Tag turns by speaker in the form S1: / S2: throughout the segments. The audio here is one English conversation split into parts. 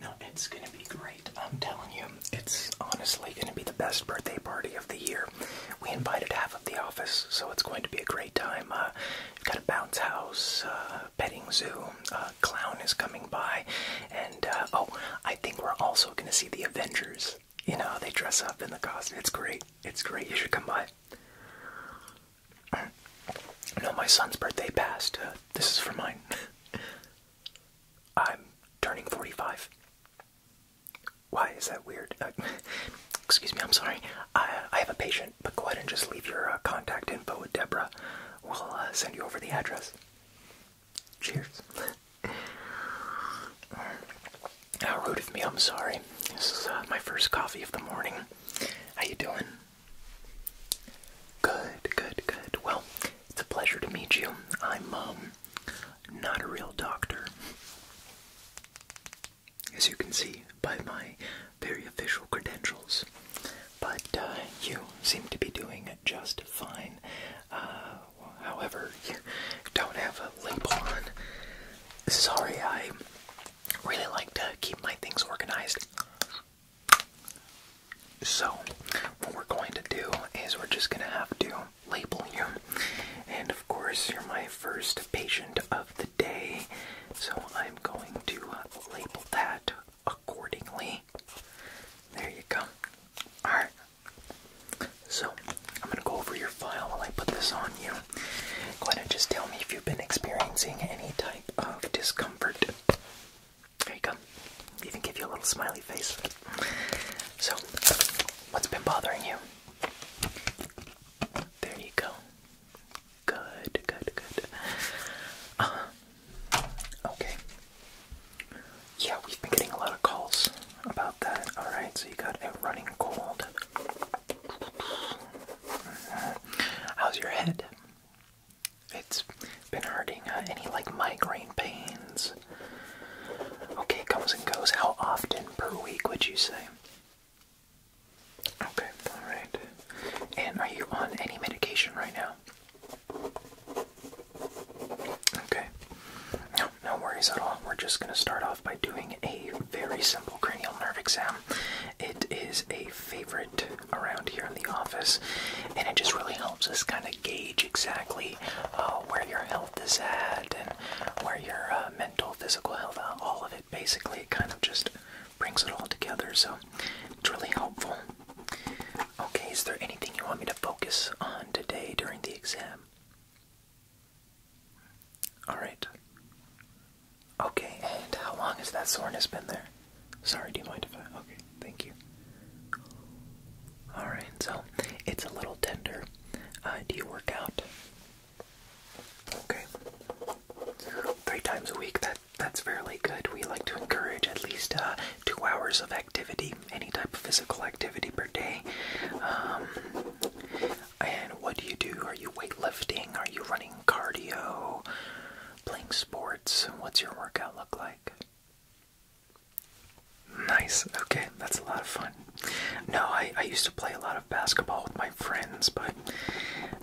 S1: No, it's gonna be great. I'm telling you, it's honestly gonna be the best birthday party of the year. We invited half of the office, so it's going to be a great time. Uh, we got a bounce house, uh, petting zoo, uh, clown is coming by, and uh, oh, I think we're also gonna see the Avengers. You know, they dress up in the costume. It's great. It's great. You should come by. No, my son's birthday passed. Uh, this is for mine. I'm turning 45. Why is that weird? Uh, excuse me, I'm sorry. I, have a patient, but go ahead and just leave your uh, contact info with Deborah. We'll send you over the address. Cheers. How rude of me, I'm sorry. This is my first coffee of the morning. How you doing? Good, good, good. Well, it's a pleasure to meet you. I'm, um, not a real doctor. As you can see by my very official credentials. But uh, you seem to be doing just fine. Uh, however, you don't have a label on. Sorry, I really like to keep my things organized. So, what we're going to do is we're just going to have to label you. And of course, you're my first patient of the day. So, I'm going to uh, label that accordingly. There you go. Alright. So, I'm going to go over your file while I put this on you. Go ahead and just tell me if you've been experiencing any type of discomfort comfort. There you go. Even give you a little smiley face. So, what's been bothering you? There you go. Good, good, good. Uh, okay. Yeah, we've been getting a lot of calls about that. Alright, so you got a running cold. Mm-hmm. How's your head? It's been hurting. Uh, any like migraine pains? Okay, comes and goes. How often per week would you say? Okay, alright. And are you on any medication right now? Okay. No, no worries at all. We're just going to start off by doing a very simple cranial nerve exam. It is a favorite around here in the office, and it just really helps us kind of gauge exactly uh, where your health is at and where your uh, mental, physical health, uh, all of it basically, kind of just brings it all together. So it's really helpful. Okay, is there anything you want me to focus on today during the exam? Alright. Okay, and how long has that soreness been there? Sorry, do you mind if I? Okay, thank you. Alright, so it's a little tender. Uh, do you work out? Okay. Three times a week, that, that's fairly good. We like to encourage at least uh, two hours of activity, any type of physical activity per day. Um, and what do you do? Are you weightlifting? Are you running cardio? playing sports, what's your workout look like? Nice. Okay, that's a lot of fun. No, I, I used to play a lot of basketball with my friends, but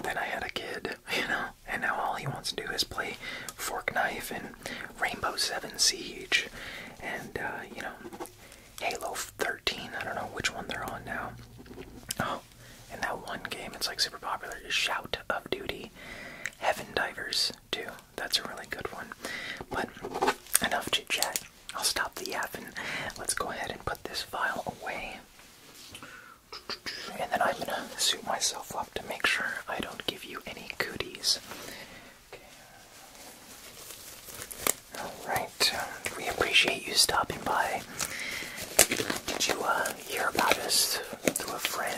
S1: then I had a kid, you know, and now all he wants to do is play Fork Knife and Rainbow Seven Siege and, uh, you know, Halo 13. I don't know which one they're on now. Oh, in that one game it's like super popular Shout of Duty, Heaven Divers too. That's a really good one. But enough to chat. I'll stop the and Let's go ahead and put this file away. And then I'm gonna suit myself up to make sure I don't give you any cooties. Okay. Alright, we appreciate you stopping by. Did you, uh, hear about us through a friend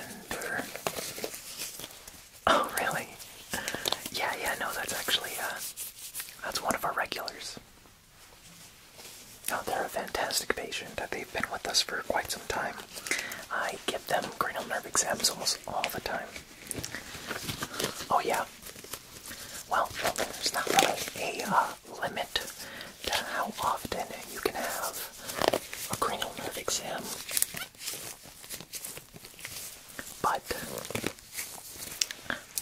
S1: Oh, really? Yeah, yeah, no, that's actually, uh, that's one of our regulars. Oh, they're a fantastic patient. They've been with us for quite some time. I give them cranial nerve exams almost all the time. Oh, yeah. Well, there's not really a uh, limit how often you can have a cranial nerve exam. But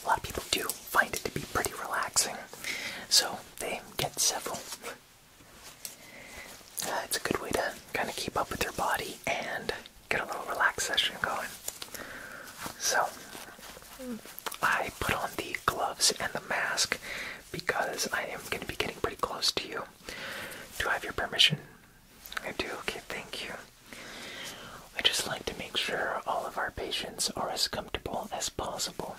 S1: a lot of people do find it to be pretty relaxing, so they get several. Uh, it's a good way to kind of keep up with your body and get a little relaxed session going. So, I put on the gloves and the mask because I am going to be getting pretty close to you. Do I have your permission? I do. Okay, thank you. I just like to make sure all of our patients are as comfortable as possible.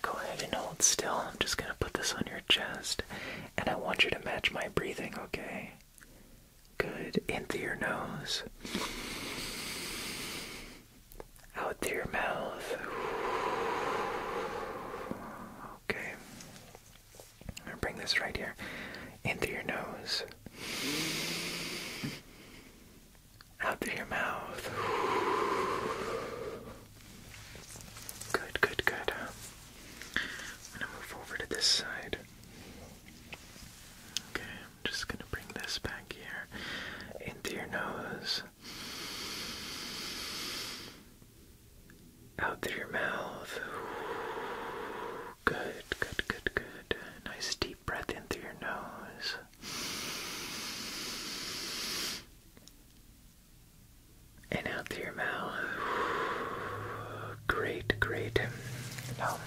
S1: Go ahead and hold still. I'm just going to put this on your chest and I want you to match my breathing, okay? Good. In through your nose out through your mouth. Okay. bring this right here. In through your nose. Out through your mouth. Good, good, good. I'm gonna move over to this side. Okay just gonna bring this back here into your nose, out through your mouth. Good, good, good, good. Nice deep breath in through your nose. And out through your mouth. Great, great. Now,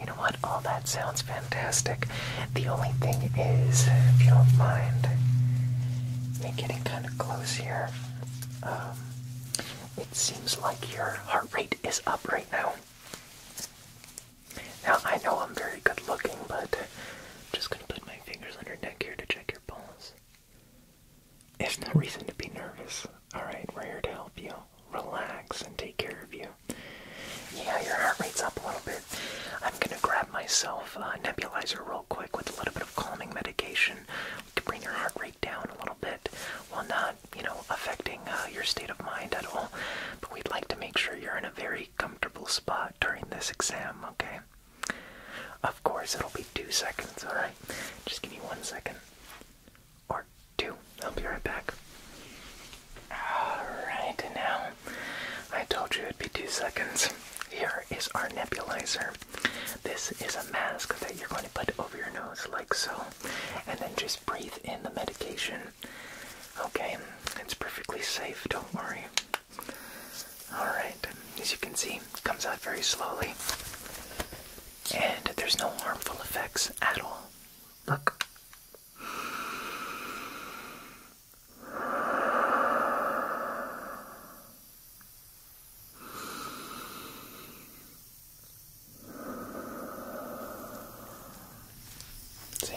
S1: you know what? All that sounds fantastic. The only thing is, if you don't mind me getting kind of close here, um, it seems like your heart rate is up right now. Now, I know I'm very good looking, but I'm just going to put my fingers under your neck here to check your pulse. There's no reason to be nervous. Alright, we're here to help you. Relax and take care of you. Yeah, your heart rate's up a little bit. I'm gonna grab myself a nebulizer real quick with a little bit of calming medication. to bring your heart rate down a little bit while not, you know, affecting uh, your state of mind at all. But we'd like to make sure you're in a very comfortable spot during this exam, okay? Of course, it'll be two seconds, alright? Just give me one second. Or two. I'll be right back. Alright, now I told you it'd be two seconds. Here is our nebulizer. This is a mask that you're going to put over your nose, like so, and then just breathe in the medication. Okay, it's perfectly safe, don't worry. Alright, as you can see, it comes out very slowly, and there's no harmful effects at all. Look, See?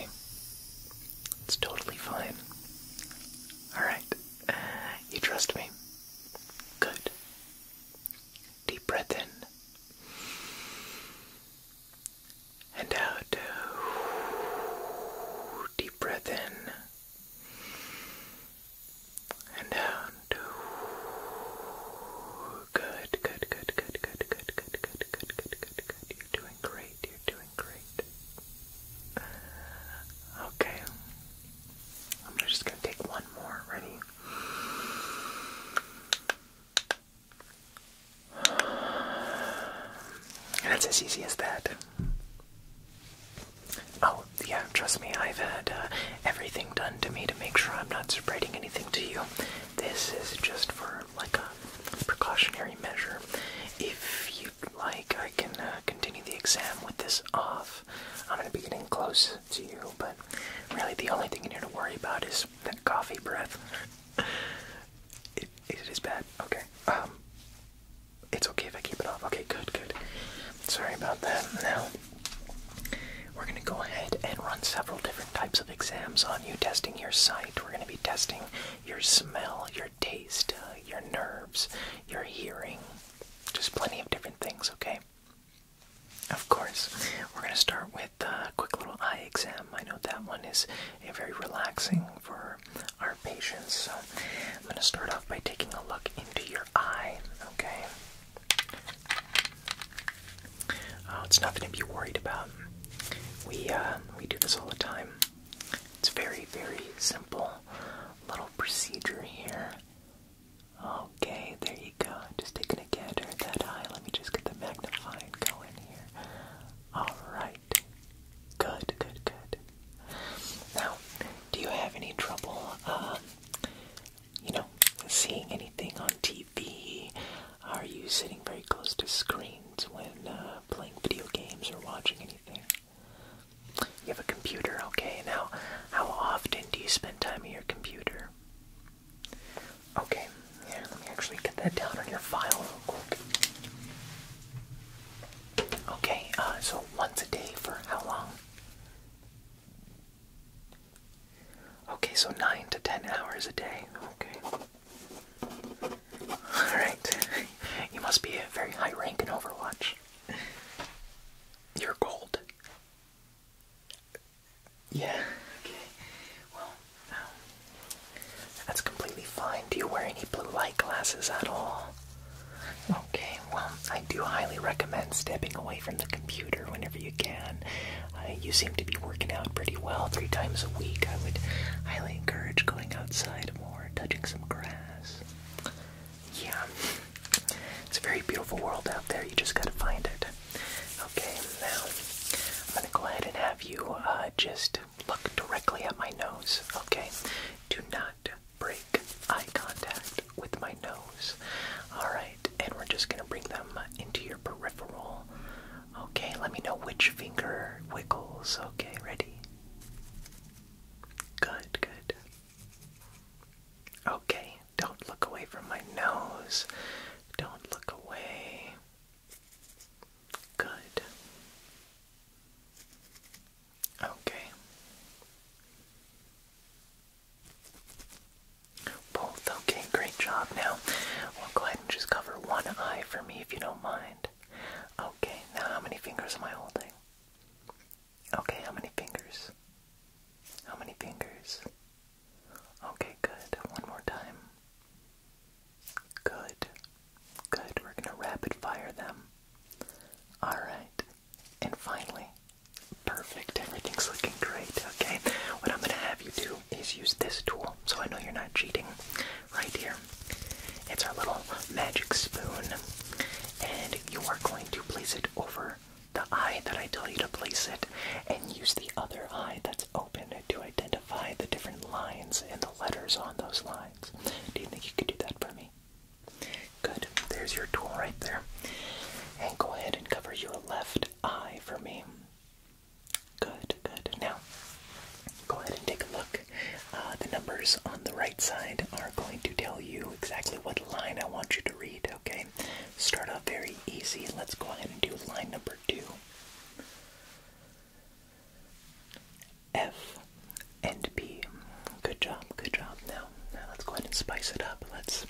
S1: It's totally fine. Alright. You trust me? Good. Deep breath in and out. Deep breath in and out. Good, good, good, good, good, good, good, good, good, good, good, good, good. You're doing great. You're doing great. Okay. I'm just gonna take one more. Ready? And it's as easy as that. Oh, yeah, trust me, I've had uh, everything done to me to make sure I'm not spreading anything to you. This is just for like a precautionary measure. If you'd like, I can uh, continue the exam with this off. I'm gonna be getting close to you, but really the only thing you need to worry about is that coffee breath. it is bad. Okay. Um, it's okay if I keep it off. Okay, good, good. Sorry about that. Now, we're going to go ahead and run several different types of exams on you, testing your sight. We're going to be testing your smell, your taste, uh, your nerves, your hearing, just plenty of different things, okay? Of course, we're going to start with the quick little eye exam. I know that one is a very relaxing for our patients. So I'm going to start off by taking a look into your eye. Okay. Oh, it's nothing to be worried about. We uh, we do this all the time. It's very very simple little procedure here. Okay, there you go. Just taking a gander at that eye. Let me just get the magnifying going here. All right. Good, good, good. Now, do you have any trouble, uh, you know, seeing anything on TV? Are you sitting very close to screens when uh, playing video games or watching anything? You have a computer, okay. Now, how often do you spend time on your computer? Okay, yeah, let me actually get that down on your file real quick. Okay, uh, so once a day for how long? Okay, so 9 to 10 hours a day. Okay. Alright. You must be a very high rank in Overwatch. You're gold. Yeah, okay. Well, um, that's completely fine. Do you wear any blue light glasses at all? Okay, well, I do highly recommend stepping away from the computer whenever you can. Uh, you seem to be working out pretty well three times a week. I would highly encourage going outside more, touching some grass. Yeah, it's a very beautiful world out there. You just gotta find it. Okay, now I'm going to go ahead and have you uh, just look directly at my nose, okay? Do not break eye contact with my nose. Alright, and we're just going to bring them into your peripheral. Okay, let me know which finger wiggles. Okay, ready? Good, good. Okay, don't look away from my nose. Don't look away. Good. Okay. Both. Okay, great job. Now, we'll go ahead and just cover one eye for me if you don't mind. Okay, now how many fingers am I holding? Okay, how many fingers? How many fingers? Okay, good. One more time. Good. Good. We're going to rapid fire them. Alright. And finally, perfect. Everything's looking great. Okay. What I'm going to have you do is use this tool so I know you're not cheating. Right here. It's our little magic spoon. And you are going to place it over the eye that I tell you to place it and use the other eye that open to identify the different lines and the letters on those lines. Do you think you could do that for me? Good. There's your tool right there. And go ahead and cover your left eye for me. Good, good. Now, go ahead and take a look. Uh, the numbers on the right side are going to tell you exactly what line I want you to read, okay? Start off very easy. Let's go ahead and do line number two. F and P. Good job, good job. Now, now let's go ahead and spice it up. Let's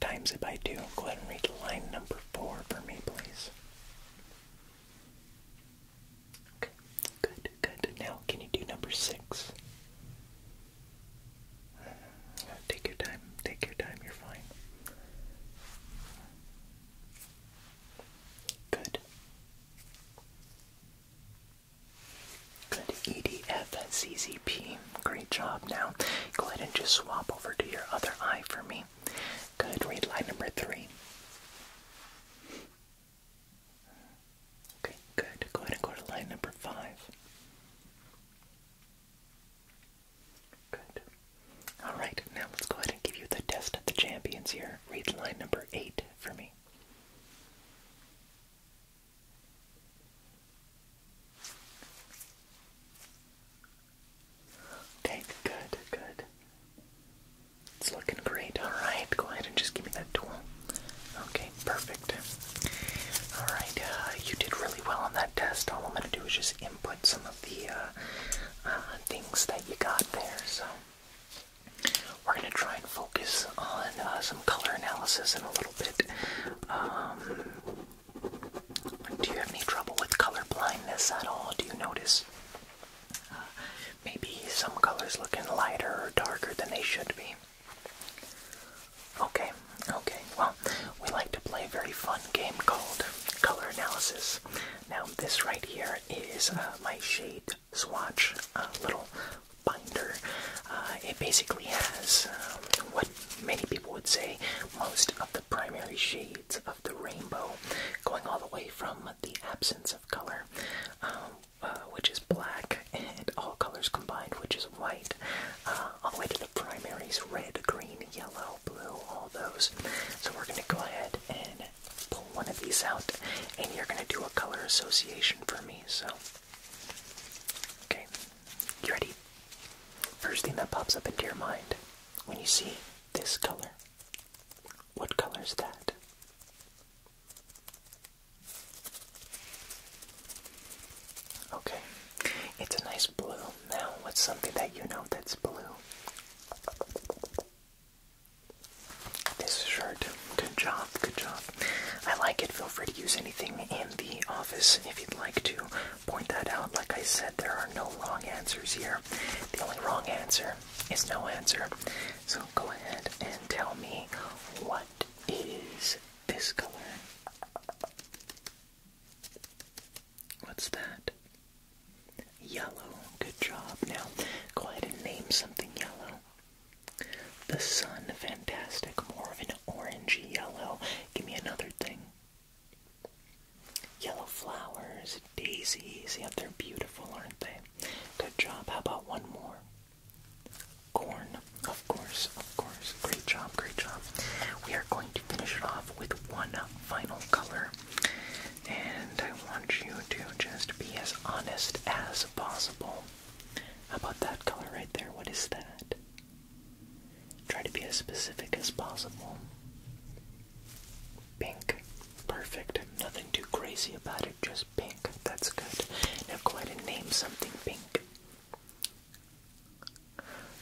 S1: times it by two. Go ahead and read line number four for me, please. Okay, good, good. Now, can you do number six? Mm-hmm. Take your time, take your time, you're fine. Good. Good. EDFCCP. Great job. Now, go ahead and just swap over to your other eye for me. Good. Read line number three. Okay, good. Go ahead and go to line number five. Good. All right, now let's go ahead and give you the test of the champions here. Read line number eight for me. Okay, good, good. It's looking great. All right, go ahead and just give me that tool. Okay, perfect. All right, uh, you did really well on that test. All I'm going to do is just input some the uh, uh, things that you got there. So we're going to try and focus on uh, some color analysis in a little bit. Um, do you have any trouble with color blindness at all? Do you notice maybe some colors looking lighter or darker than they should be? Okay, okay. Well, we like to play a very fun game called color analysis. Now, this right here is uh, my shade swatch uh, little binder. Uh, it basically has um, what many people would say most of the primary shades of the rainbow, going all the way from the absence of color, um, which is black, and all colors combined, which is white, um, all the way to the primaries, red, green, yellow, blue, all those. So we're gonna go ahead and pull one of these out and you're gonna do a color association for me, so. Okay, you ready? First thing that pops up into your mind when you see this color, what color is that? Okay, it's a nice blue. Now, what's something that you know that's blue? This shirt. Good job, good job. I like it. Feel free to use anything in the office if you'd like to point that out. Like I said, there are no wrong answers here. The only wrong answer is no answer. So go ahead and tell me what is this color? What's that? Yellow. Good job. Now, go ahead and name something yellow. The sun. Fantastic. More of an orangey yellow. Give me another thing. Yellow flowers, daisies. Yep, they're beautiful, aren't they? Good job. How about one more? Corn. Of course, of course. Great job, great job. We are going to finish it off with one final color. And I want you to just be as honest as possible. How about that color right there? What is that? Try to be as specific as possible. Pink. Perfect. Nothing too crazy about it, just pink. That's good. Now go ahead and name something pink.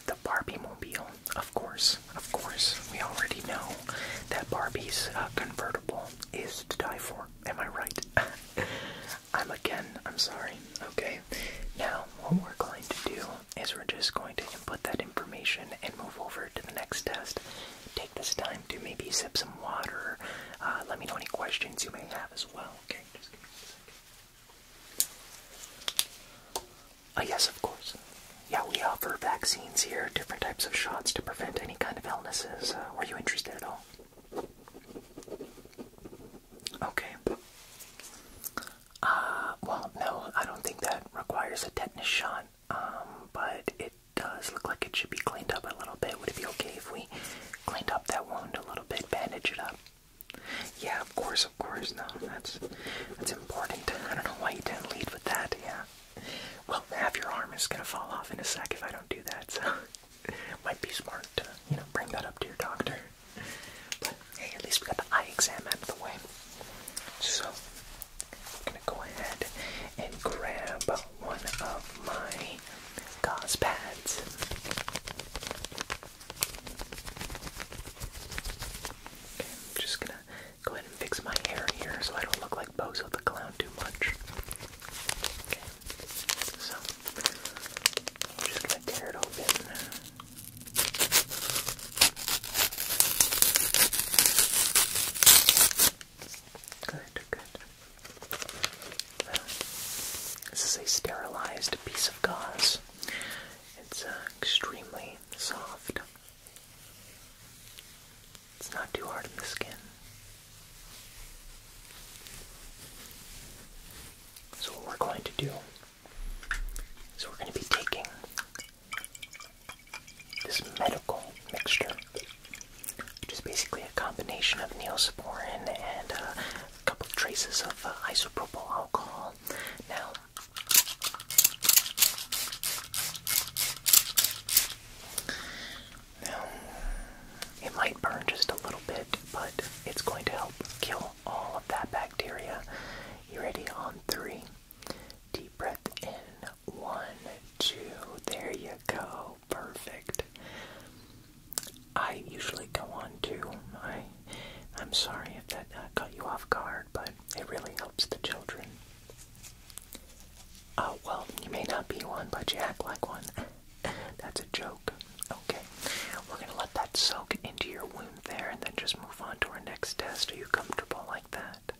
S1: The Barbie Mobile, of course, of course. We already know that Barbie's uh, convertible is to die for. Am I right? I'm again, I'm sorry. Okay, now what we're going to do is we're just going to input that information and move over to the next test. Take this time to maybe sip some water. Uh, let me know any questions you may have as well. Okay, just give me a second. Uh, yes, of course. Yeah, we offer vaccines here, different types of shots to prevent any kind of illnesses. Uh, were you interested at all? Okay. Uh, well, no, I don't think that requires a tetanus shot, um, but it does look like it should be cleaned up a little bit. Would it be okay if we cleaned up that wound a little bit, bandage it up? Yeah, of course, of course. No, that's that's important. I don't know why you didn't lead with that. Yeah. Well, half your arm is gonna fall off in a sec if I don't do that. So, might be smart to you know bring that up to your doctor. But hey, at least we got the eye exam out of the way. So, I'm gonna go ahead and grab one of my gauze pads. I'm just gonna go ahead and fix my hair here so I don't look like Bozo the Clown too much. so I'm just gonna tear it open. Good, good. this is a sterilized piece of gauze. It's uh, extremely soft. It's not too hard on the skin. So what we're going to do is we're going to be taking this medical mixture, which is basically a combination of neosporin and uh, a couple of traces of uh, isopropyl alcohol all. Now, now, it might burn just a little bit, but it's going to help kill all of that bacteria. You ready? On three. Deep breath in. One, two. There you go. Perfect. I usually go on too. I, am sorry if that uh, got you off guard, but it really helps the children. Uh, well, you may not be one, but you act like one. That's a joke. Okay, we're going to let that soak into your wound there and then just move on to our next test. Are you comfortable like that?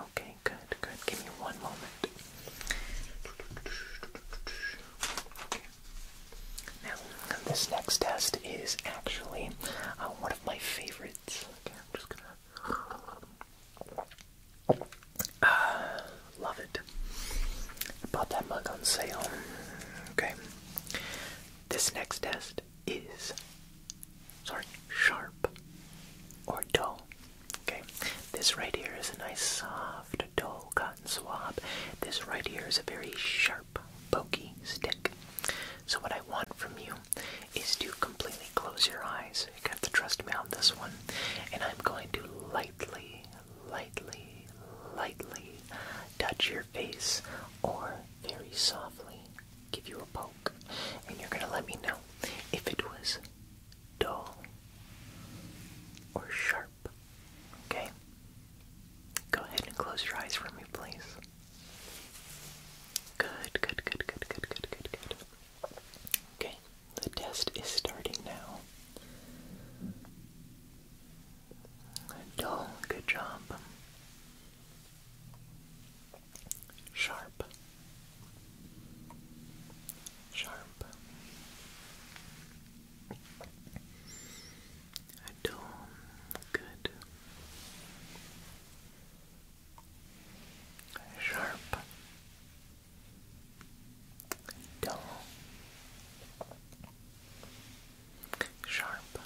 S1: Okay, good, good. Give me one moment. Now, this next test is actually uh, one of my favorites. i uh, love it. Bought that mug on sale. Okay. This next test is. Sorry, sharp or dull. Okay, this right here is a nice soft, dull cotton swab. This right here is a very sharp, pokey stick. So what I want from you is to completely close your eyes. You have to trust me on this one. And I'm going to lightly, lightly, lightly touch your face or very softly give you a poke. And you're going to let me know if it was dull or sharp. Okay? Go ahead and close your eyes for me, please. Good, good, good, good, good, good, good, good. Okay, the test is starting now. Dull, good job. Sharp, sharp, are dull. Good. Sharp. Dull. Sharp.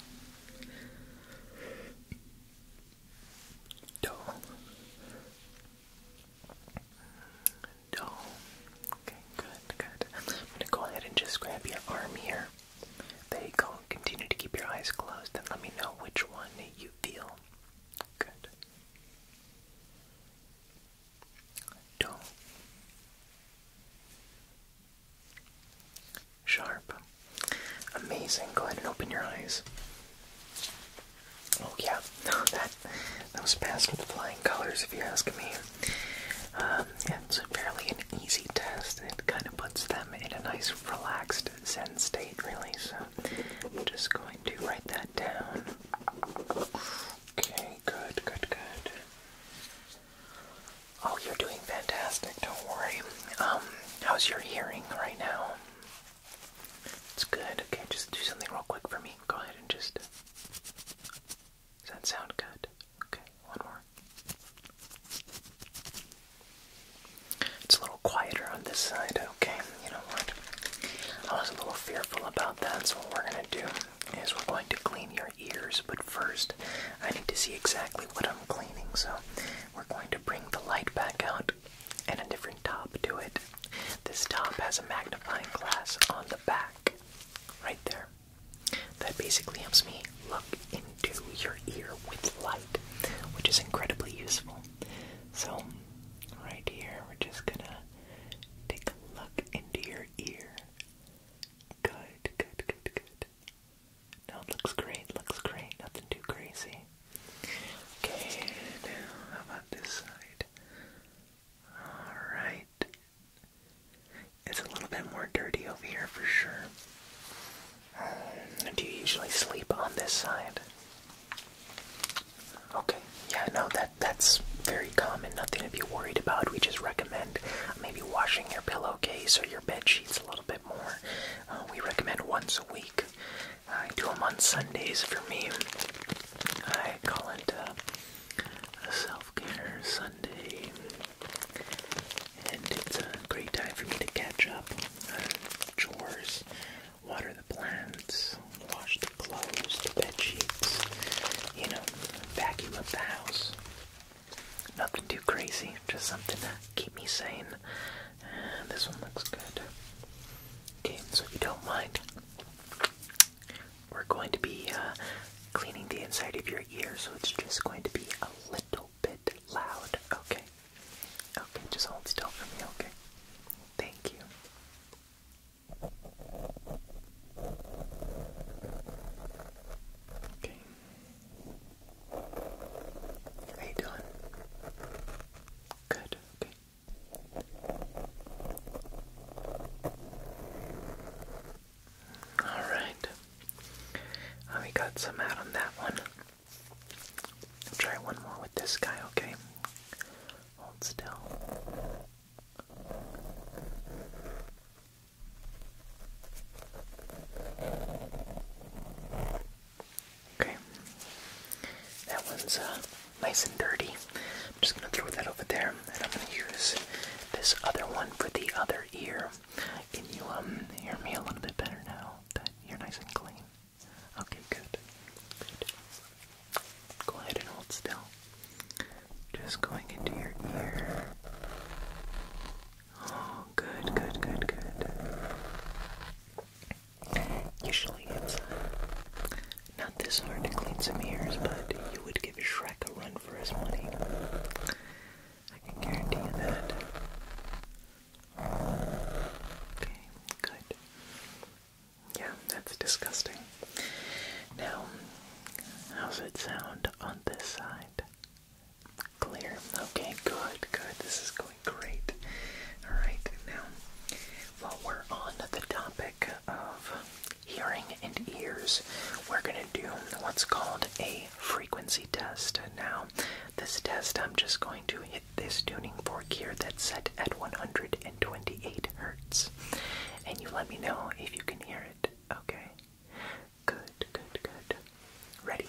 S1: Dull. Dull. Okay, good, good. I'm gonna go ahead and just grab your arm here. There you go. Continue to keep your eyes closed and let me know which one you feel. Good. Do. Sharp. Amazing. Go ahead and open your eyes. Oh yeah, that that was past with the flying colors, if you're asking me. Um, yeah, it's a easy test. It kind of puts them in a nice relaxed zen state, really. So I'm just going to write that down. Okay, good, good, good. Oh, you're doing fantastic, don't worry. Um, how's your hearing right now? It's good. Okay, just do something real quick for me. Go ahead and just does that sound good? Okay, one more. It's a little quieter on this side, okay? You know what? I was a little fearful about that, so what we're gonna do is we're going to clean your ears, but first I need to see exactly what I'm cleaning, so we're going to bring the light back out and a different top to it. This top has a magnifying glass on the back, right there that basically helps me look into your ear with light, which is incredibly useful. So, right here, we're just gonna take a look into your ear. Good, good, good, good. No, it looks great, looks great, nothing too crazy. Okay, now how about this side? Alright. It's a little bit more dirty over here for sure. Um, do you usually sleep on this side? Okay, yeah, no, that that's very common. Nothing to be worried about. We just recommend maybe washing your pillowcase or your bed sheets a little bit more. Uh, we recommend once a week. I do them on Sundays for me. I call it uh, a self Sunday, and it's a great time for me to catch up on chores, water the plants, wash the clothes, the bed sheets, you know, vacuum up the house. Nothing too crazy, just something to keep me sane. And this one looks good. Okay, so if you don't mind, we're going to be uh, cleaning the inside of your ear, so it's just going to be a little bit loud, okay? Okay, just hold still for me, okay? Thank you. Okay. How you doing? Good, okay. Alright. Uh, we got some out on that one. try one more with this guy, okay? Hold still. Okay. That one's uh, nice and dirty. I'm just going to throw that over there, and I'm going to use this other one for the other ear. Can you um, hear me a little bit better now? you're nice and clean. Okay, good. Good. Go ahead and hold still. Just going into your ear. Oh, good, good, good, good. Usually it's not this hard to clean some ears, but you would give Shrek a run for his money. I can guarantee you that. Okay, good. Yeah, that's disgusting. Now, how's it sound on this side? Clear. Okay, good, good. This is going great. Alright, now, while we're on the topic of hearing and ears, we're going to do what's called a frequency test. Now, this test, I'm just going to hit this tuning fork here that's set at 128 hertz. And you let me know if you can hear it, okay? Good, good, good. Ready?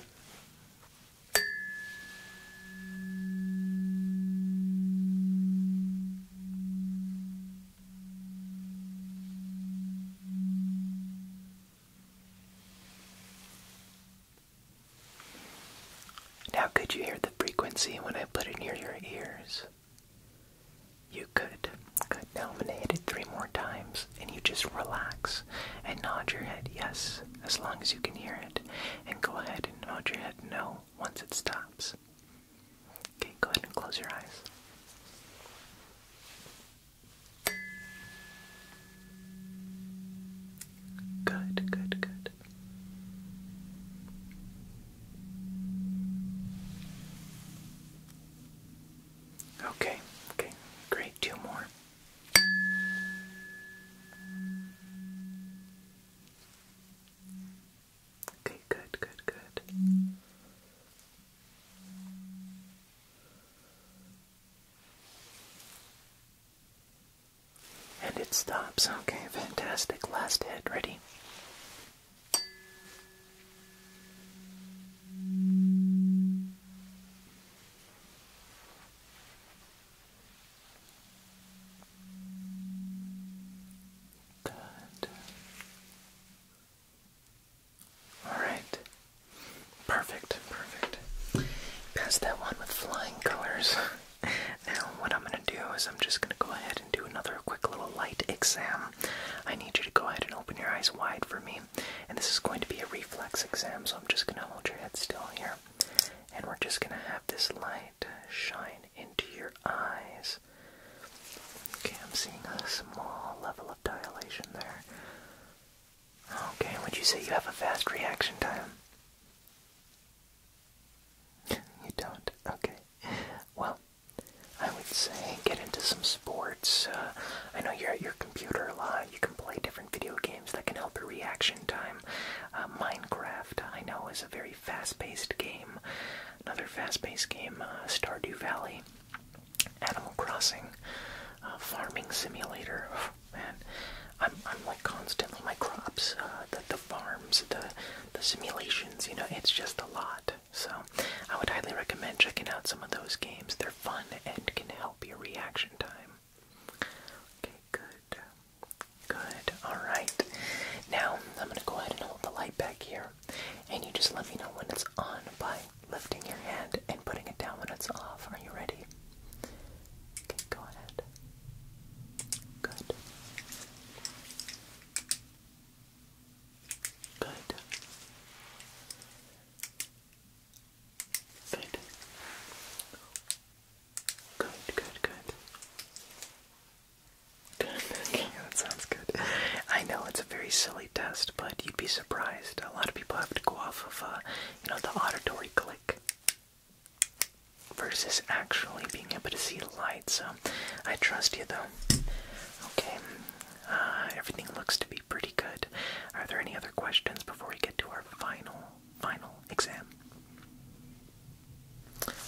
S1: Now, could you hear the frequency when I put it near your ears? You could. Good. Now I'm going to hit it three more times, and you just relax and nod your head yes, as long as you can hear it, and go ahead and nod your head no once it stops. Okay, go ahead and close your eyes. Good, good, good. Okay, okay, great. Two more. Okay, good, good, good. And it stops. Okay, fantastic. Last hit, ready? Good. Alright. Perfect, perfect. Pass that one with flying colors. now, what I'm going to do is I'm just going to go ahead and do another quick little light exam. I need you to go ahead and open your eyes wide for me. And this is going to be a reflex exam, so I'm just going to hold your head still here. And we're just going to have this light shine into your eyes. Okay, I'm seeing a small level of dilation there. Okay, would you say you have a fast reaction time? you don't? Okay. Well, I would say get into some sports. Uh, I know you're at your computer a lot. You can play different video games that can help your reaction time. Uh, Minecraft, I know, is a very fast-paced game. Another fast-paced game, uh, Stardew Valley, Animal Crossing, uh, Farming Simulator. Oh, man, I'm I'm like constantly my crops, uh, the the farms, the the simulations. You know, it's just a lot. So I would highly recommend checking out some of those games. They're fun and can help your reaction time. Okay, good. Good. Alright. Now I'm gonna go ahead and hold the light back here and you just let me know when it's on by lifting your hand and putting it down when it's off. Are you ready? Okay, go ahead. Good. Good. Good. Good, good, good yeah, that sounds good. I know it's a very silly test, but you'd be surprised. A lot of people have to go off of, uh, you know, the auditory click versus actually being able to see the light. So I trust you, though. Okay, uh, everything looks to be pretty good. Are there any other questions before we get to our final, final exam?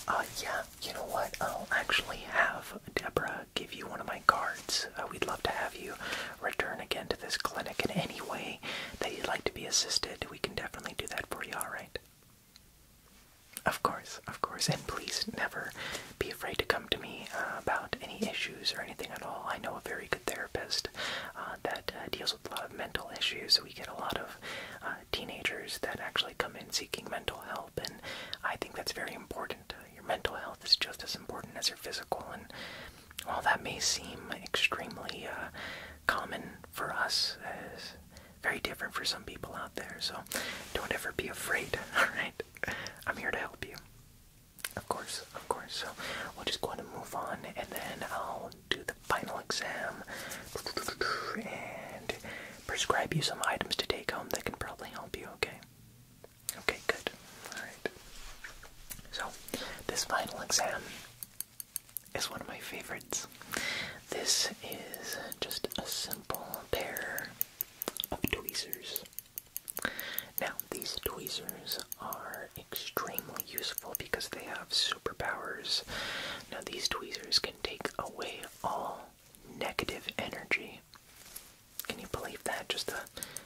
S1: Uh, yeah, you know what? I'll actually have Deborah give you one of my cards. Uh, we'd love to have you return again to this clinic in any way that you'd like to be assisted. We can definitely do that for you, alright? Of course, of course. And please never be afraid to come to me uh, about any issues or anything at all. I know a very good therapist uh, that deals with a lot of mental issues. We get a lot of teenagers that actually come in seeking mental health and I think that's very important. Uh, your mental health is just as important as your physical, and while that may seem extremely uh, common for us, it's very different for some people out there. So don't ever be afraid. All right, I'm here to help you. Of course, of course. So we are just going to move on, and then I'll do the final exam. And prescribe you some items to take home that can probably help you, okay? Okay, good. Alright. So, this final exam is one of my favorites. This is just a simple pair of tweezers. Now, these tweezers are extremely useful because they have superpowers. Now, these tweezers can take away all negative energy. Can you believe that? Just a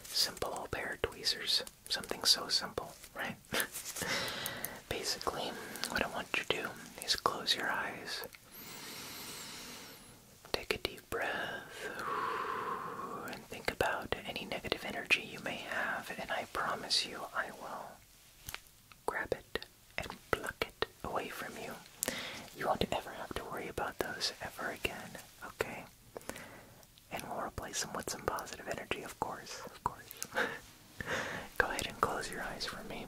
S1: simple old pair of tweezers. Something so simple, right? Basically, what I want you to do is close your eyes. Take a deep breath and think about any negative energy you may have, and I promise you I will grab it and pluck it away from you. You won't ever have to worry about those ever again, okay? And we'll replace them with some positive energy, of course, of course. Go ahead and close your eyes for me.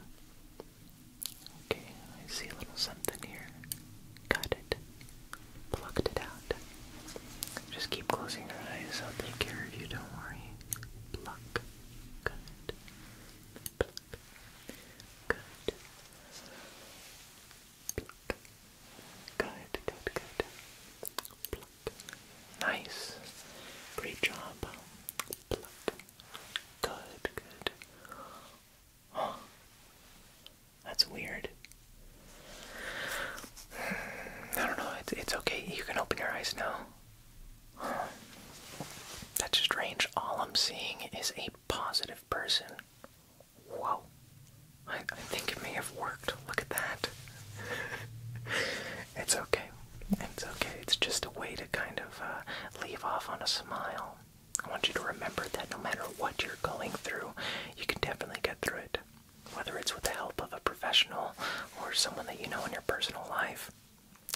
S1: Okay, I see a little something here. Got it. Plucked it out. Just keep closing your eyes. I'll take care of you, don't worry. Pluck. Good. Good. Good, good, good. Nice. Great job. Good, good. That's weird. I don't know. It's, it's okay. You can open your eyes now. That's strange. All I'm seeing is a positive person. Whoa. I, think it may have worked. Look at that. it's okay. It's okay. It's just a way to kind of uh, leave off on a smile. I want you to remember that no matter what you're going through, you can definitely get through it. Whether it's with the help of a professional or someone that you know in your personal life,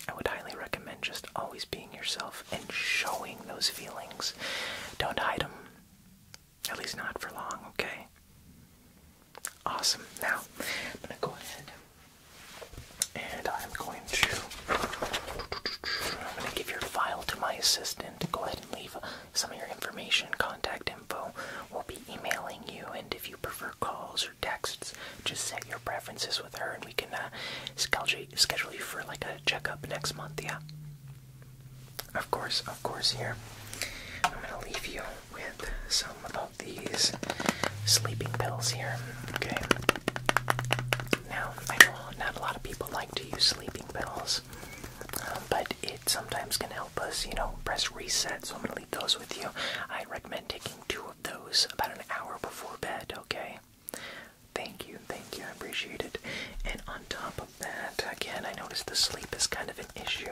S1: I would highly recommend just always being yourself and showing those feelings. Don't hide them. At least not for long, okay? Awesome. Now, I'm going to go ahead and I'm going to I'm going to give your file to my assistant. Go ahead and leave some of your information, contact info. We'll be emailing you and if you prefer calls emails texts. Just set your preferences with her, and we can uh, schedule you for like a checkup next month. Yeah. Of course, of course. Here, I'm gonna leave you with some of these sleeping pills here. Okay. Now, I know not a lot of people like to use sleeping pills, um, but it sometimes can help us, you know, press reset. So I'm gonna leave those with you. I recommend taking two of those about an hour before bed, okay? Thank you, thank you, I appreciate it. And on top of that, again, I noticed the sleep is kind of an issue.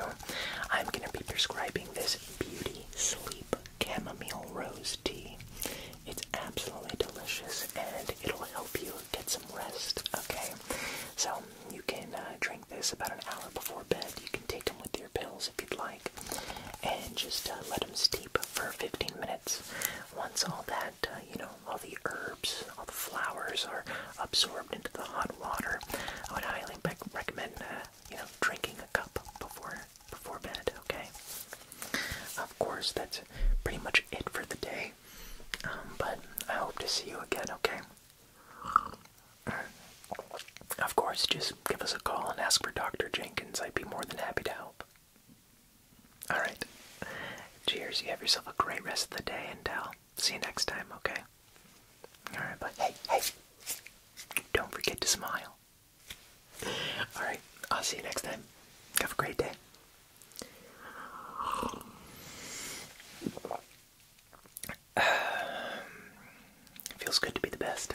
S1: I'm going to be prescribing this Beauty Sleep Chamomile Rose Tea. It's absolutely delicious and it'll help you get some rest, okay? So you can uh, drink this about an hour before bed. You can take them with your pills if you'd like, and just uh, let them steep for 15 minutes. Once all that, uh, you know, all the herbs, all the flowers are absorbed into the hot water, I would highly recommend, uh, you know, drinking a cup before before bed. Okay. Of course, that's pretty much it for the day. Um, but I hope to see you again. Okay. Of course, just give us a call and ask for Dr. Jenkins. I'd be more than happy to help. Alright. Cheers. You have yourself a great rest of the day, and I'll see you next time, okay? Alright, Bye. hey, hey! Don't forget to smile. Alright, I'll see you next time. Have a great day. feels good to be the best.